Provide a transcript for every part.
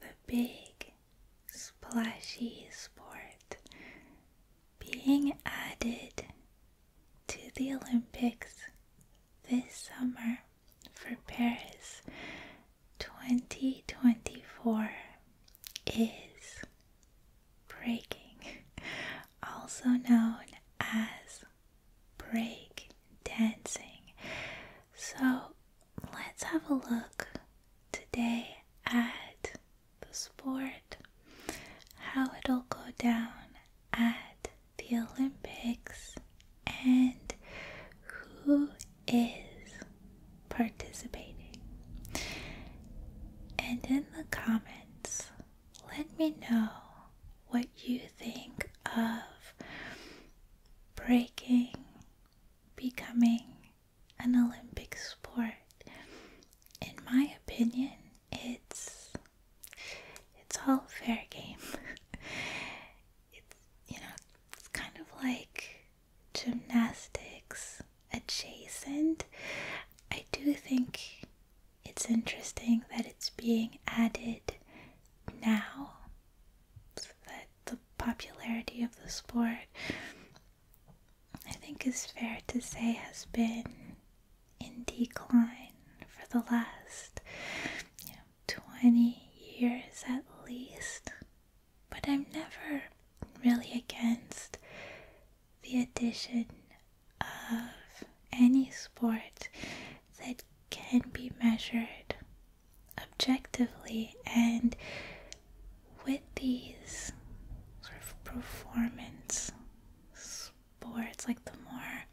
the big splashy sport being added to the Olympics this summer for Paris 2024 is breaking, also known as break dancing. So let's have a look today at the sport, how it'll go down at the Olympics, and who is participating. And in the comments, let me know what you think of breaking becoming an Olympic sport. In my opinion, it's it's all fair game. it's you know, it's kind of like gymnastics adjacent. I do think it's interesting that it's being added now the popularity of the sport, I think is fair to say has been in decline for the last 20 years at least. But I'm never really against the addition of any sport that can be measured objectively and with these sort of performance sports, like the more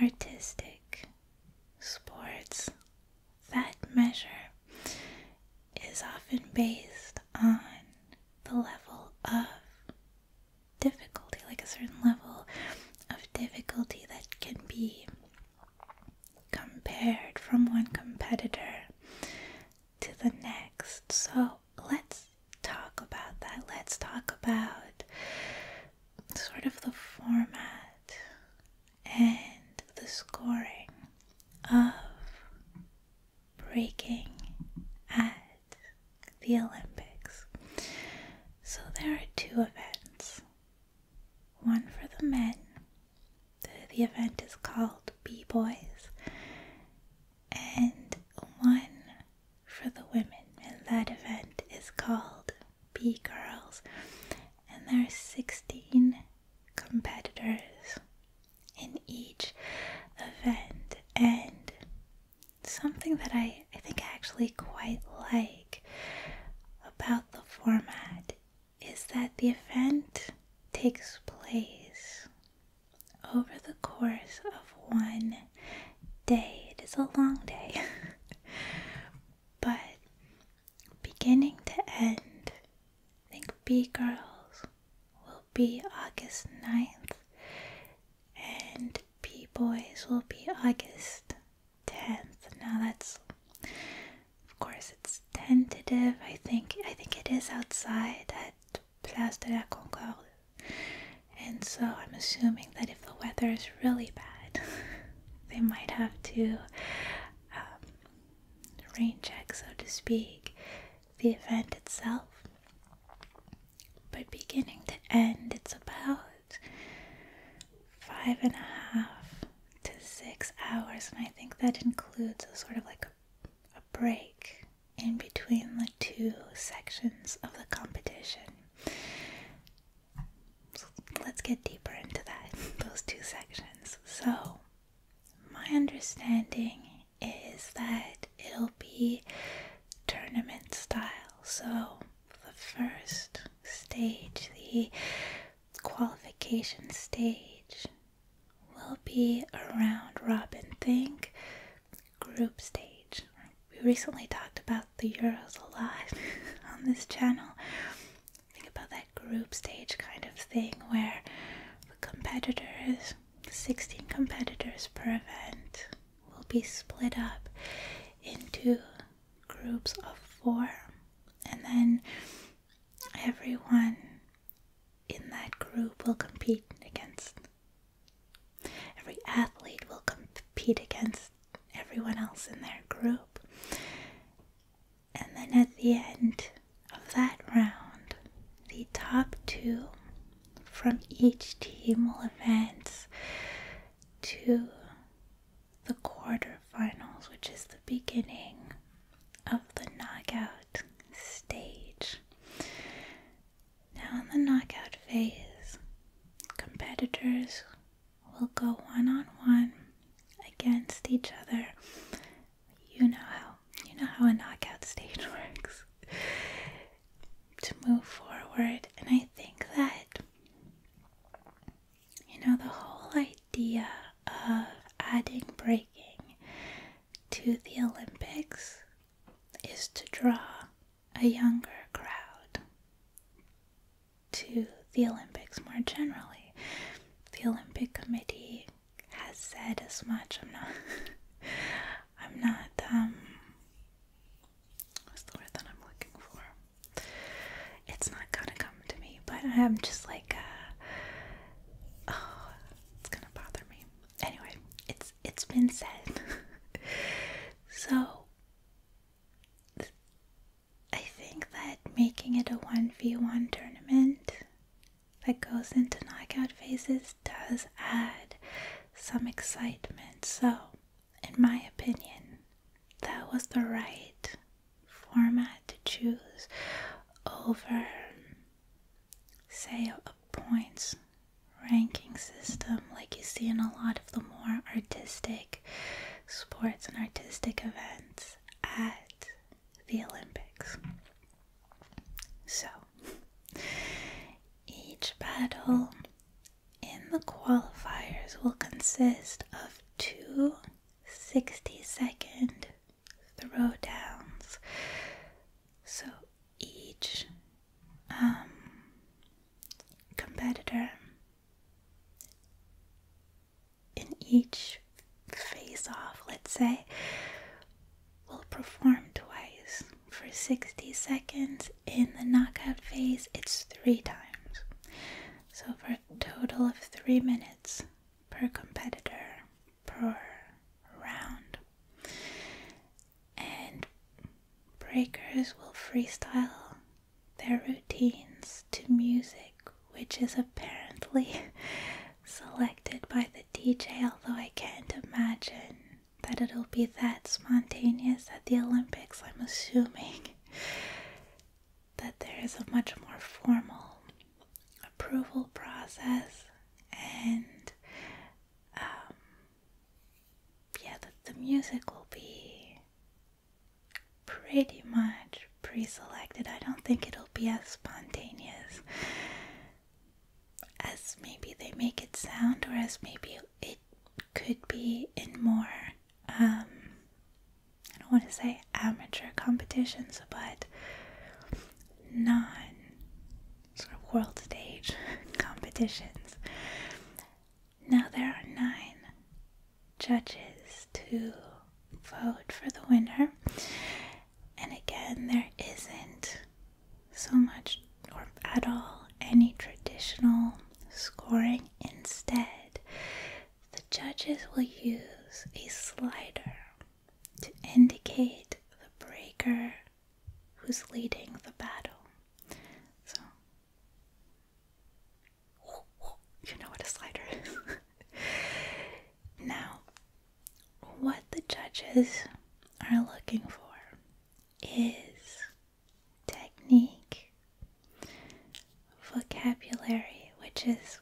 artistic sports, that measure is often based on the level of difficulty, like a certain level of difficulty that can be compared from one competitor to the next. So let's talk about that. Let's talk about sort of the format and the scoring of breaking at the Olympics. So there are two events one for the men. The, event is called B Boys, and one for the women, and that event is called B Girls. And there are 16 competitors in each event, and something that I, I think I actually quite like about the format is that the event takes place over the course of one day. It is a long day, but beginning to end, think B Girls will be August 9th and B Boys will be August tenth. Now that's of course it's tentative. I think I think it is outside at Place de la And so I'm assuming that if the weather is really bad, they might have to um, check, so to speak, the event itself. But beginning to end, it's about five and a half to six hours, and I think that includes a sort of like a, break in between the two sections of the competition. let's get deeper into that, those two sections. So, my understanding is that it'll be tournament style. So, the first stage, the qualification stage will be a round robin thing group stage. We recently talked about the Euros a lot on this channel. Think about that group stage kind of thing where the competitors, 16 competitors per event, will be split up into groups of four, and then everyone in that group will compete against. Every athlete will compete against everyone else in their group. And then at the end of that round, the top two from each team will advance to the quarterfinals, which is the beginning of the knockout stage. Now, in the knockout phase, competitors will go one on one against each other. You know how you know how a knockout stage works. to move forward, and I think that you know, the whole idea of adding breaking to the Olympics is to draw a younger crowd to the Olympics more generally. The Olympic Committee has said as much. I'm not. I'm not. Um. What's the word that I'm looking for? It's not gonna come to me, but I'm just like, uh, oh, it's gonna bother me. Anyway, it's it's been said. so I think that making it a one v one tournament that goes into knockout phases does add some excitement. So, in my opinion, that was the right format to choose over, say, a points ranking system like you see in a lot of the more artistic sports and artistic events at the Olympics. So, each battle in the qualifiers will consist of two 60 second throwdowns. So each um, competitor in each face off, let's say, will perform twice. For 60 seconds in the knockout phase, it's three times. So for total of three minutes per competitor per round. And breakers will freestyle their routines to music, which is apparently selected by the DJ, although I can't imagine that it'll be that spontaneous at the Olympics, I'm assuming that there is a much more formal approval process and um, yeah that the music will be pretty much pre-selected i don't think it'll be as spontaneous as maybe they make it sound or as maybe it could be in more um, I don't want to say amateur competitions, but non sort of world stage competitions. Now there are nine judges to vote for the winner, and again, there isn't so much or at all any traditional scoring. Instead, the judges will use a slider to indicate the breaker who's leading the battle. So, you know what a slider is. now, what the judges are looking for is technique, vocabulary, which is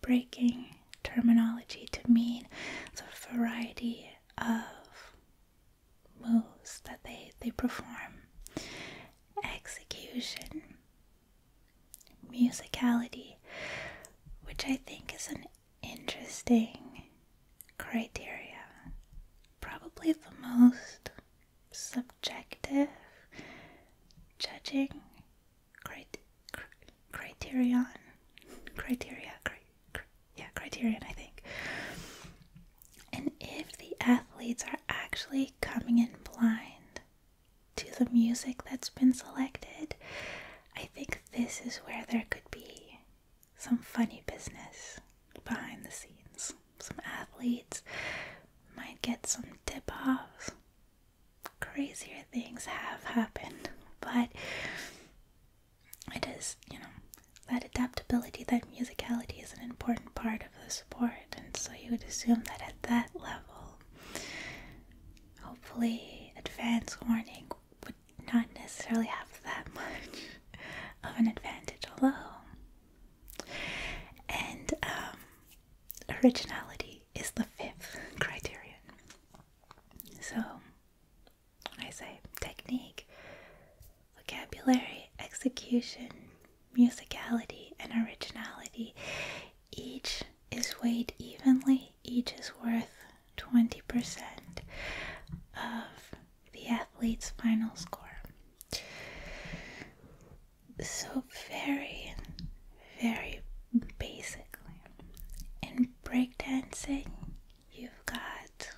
breaking terminology to mean the variety of moves that they, they perform, execution, musicality, which I think is an interesting criteria. Probably the most subjective judging criterion criteria yeah criterion I think and if the athletes are actually coming in blind to the music that's been selected I think this is where there could be some funny business behind the scenes. Some athletes might get some tip offs. Crazier things have happened, but it is, you know, that adaptability, that musicality is an important part of the sport, and so you would assume that at that level, hopefully, advanced warning would not necessarily have that much of an advantage, alone. And um, originality is the fifth criterion. So I say technique, vocabulary, execution, musicality, and originality. Each is weighed evenly, each is worth 20% of the athlete's final score. So, very, very basically, in breakdancing, you've got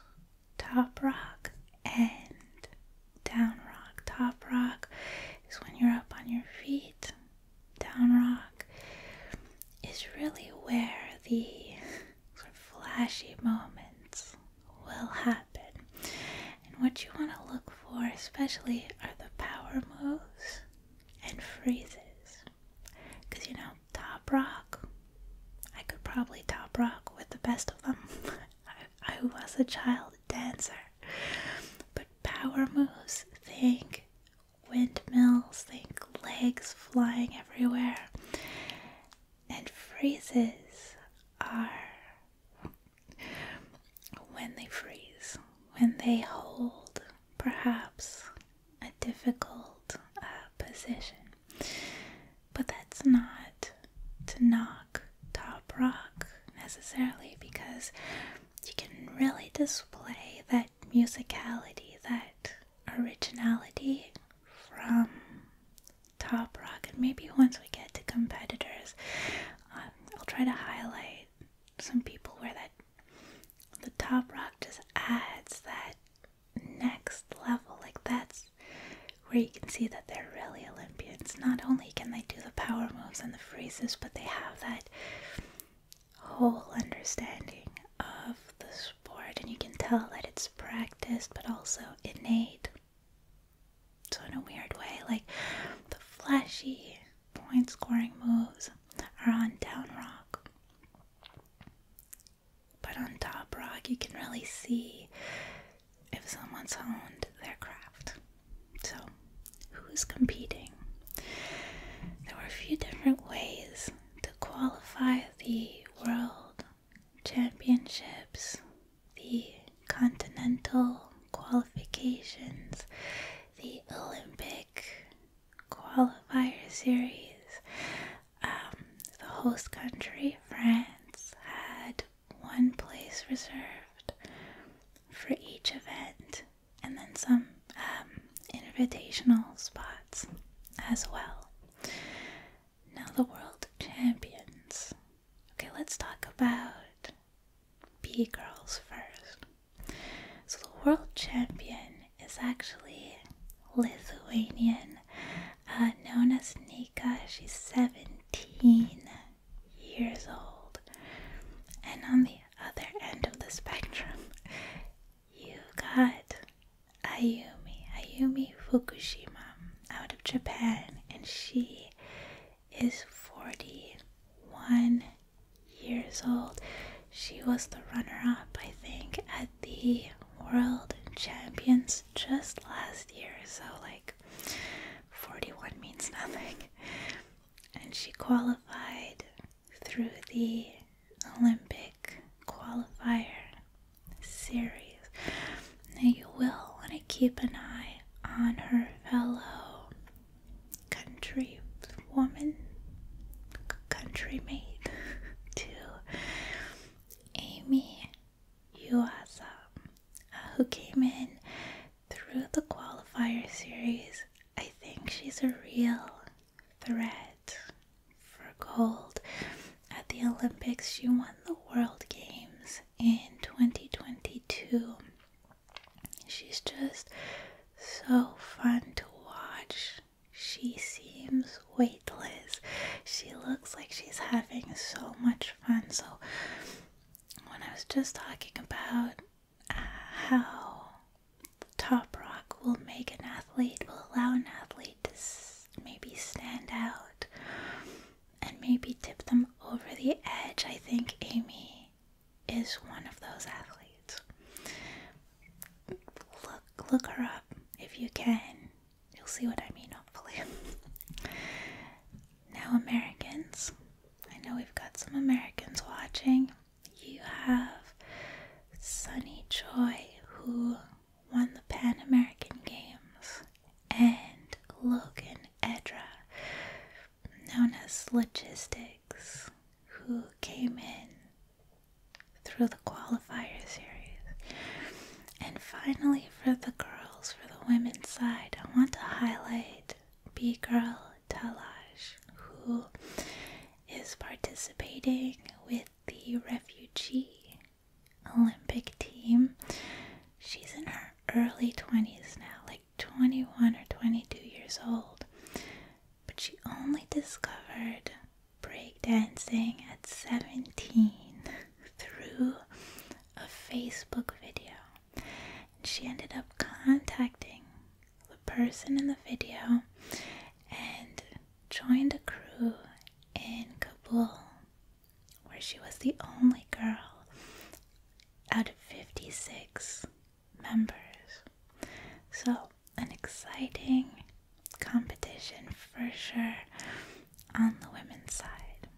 top rock and down rock. Top rock is when you're up on your feet, down rock is really where the sort of flashy moments will happen. And what you want to look for, especially, are the power moves and freezes. Because you know, top rock, I could probably top rock with the best of them. I, I was a child dancer. But power moves, think windmills, think legs flying everywhere and freezes are when they freeze, when they hold perhaps a difficult uh, position. But that's not to knock Top Rock necessarily because you can really display that musicality, that originality from Top Rock, and maybe once we get to competitors, um, I'll try to highlight some people where that the Top Rock just adds that next level. Like that's where you can see that they're really Olympians. Not only can they do the power moves and the freezes, but they have that whole understanding of the sport, and you can tell that it's practiced but also innate. So, in a weird way, like the flashy point scoring moves are on down rock. But on top rock, you can really see if someone's honed their craft. So, who's competing? There were a few different ways to qualify the world championships, the continental qualifications, the Olympic qualifier series. Um, the host country, France, had one place reserved for each event and then some um, invitational spots as well. Now, the world champions. Okay, let's talk about B girls first. So, the world champion is actually Lithuanian, uh, known as Nika. She's 17 years old. And on the other end of the spectrum, you got Ayumi, Ayumi Fukushima out of Japan, and she is 41 years old. She was the runner up, I think, at the World Champions just last year, so like 41 means nothing. And she qualified through the Olympic qualifier series. Now you will want to keep an eye on her fellow country woman, country maid, too, Amy Uasa, uh, who came in through the qualifier series. I think she's a real threat for gold. At the Olympics, she won the World Games in 2022. She's just so fun to watch. She seems weightless. She looks like she's having so much fun. So, when I was just talking about uh, how Top Rock will make an athlete, will allow an athlete to maybe stand out and maybe tip them over the edge. I think Amy is one of those athletes. Look look her up if you can. You'll see what I mean hopefully. now Americans. I know we've got some Americans watching. You have Sunny Choi who won the Pan American Games, and Logan Edra, known as Logistics, who came in through the qualifier series. And finally, for the girls, for the women's side, I want to highlight B Girl Talash, who is participating with the refugee Olympic team. She's in her early 20s now, like 21 or 22 years old. But she only discovered breakdancing at 17 through a Facebook video. And she ended up contacting the person in the video and joined a crew in Kabul where she was the only girl out of 56 members. So, an exciting competition for sure on the women's side.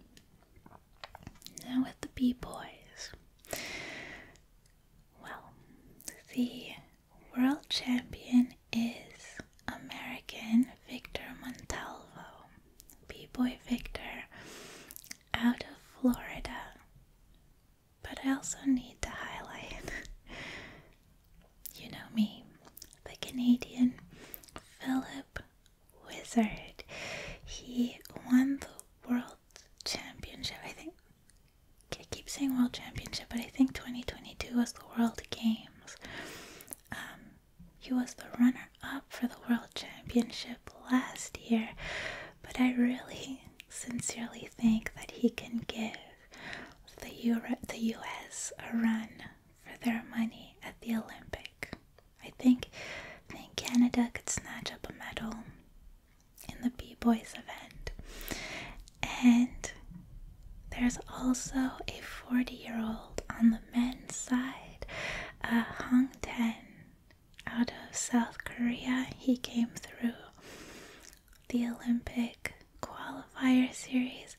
Now, with the B Boys, well, the world champion is American Victor Montalvo, B Boy Victor out of Florida. But I also need to highlight you know me, the Canadian Philip Wizard. He won the world championship, I think. I keep saying world championship, but I think 2022 was the world games. Um, he was the runner up for the World Championship last year, but I really sincerely think that he can give the, Euro the US a run for their money at the Olympic. I think, think Canada could snatch up a medal in the B-Boys event. And there's also a 40 year old on the men's side, a Hongtan out of South Korea. He came through the Olympic qualifier series.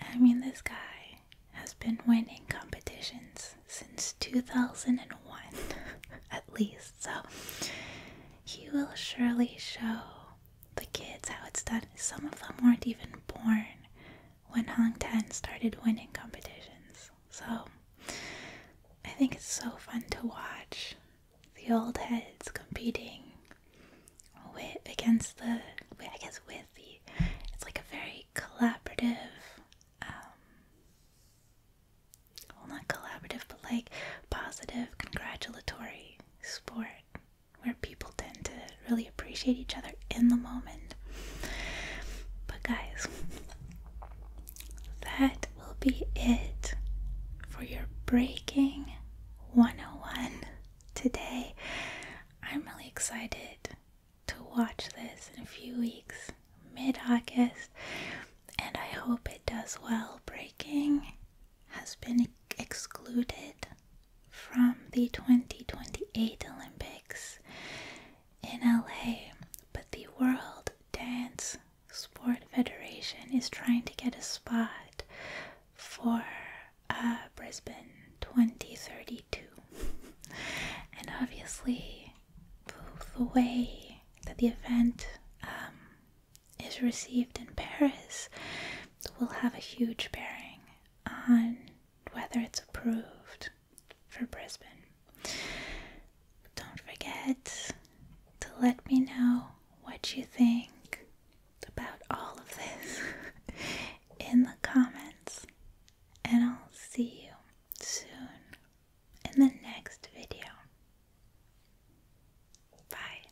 I mean, this guy has been winning competitions since 2001, at least, so he will surely show the kids, how it's done some of them weren't even born when Hong Tan started winning competitions. So I think it's so fun to watch the old heads competing with against the I guess with the it's like a very collaborative um, well not collaborative but like positive congratulatory sport where people tend to really appreciate each other in the moment. But, guys, that will be it for your Breaking 101 today. I'm really excited to watch this in a few weeks, mid August, and I hope it does well breaking has been excluded from the 2028 Olympics in LA, but the World Dance Sport Federation is trying to get a spot for uh, Brisbane 2032. and obviously, the way that the event um, is received in Paris will have a huge bearing on whether it's approved for Brisbane. don't forget to let me know what you think about all of this in the comments, and I'll see you soon in the next video. Bye.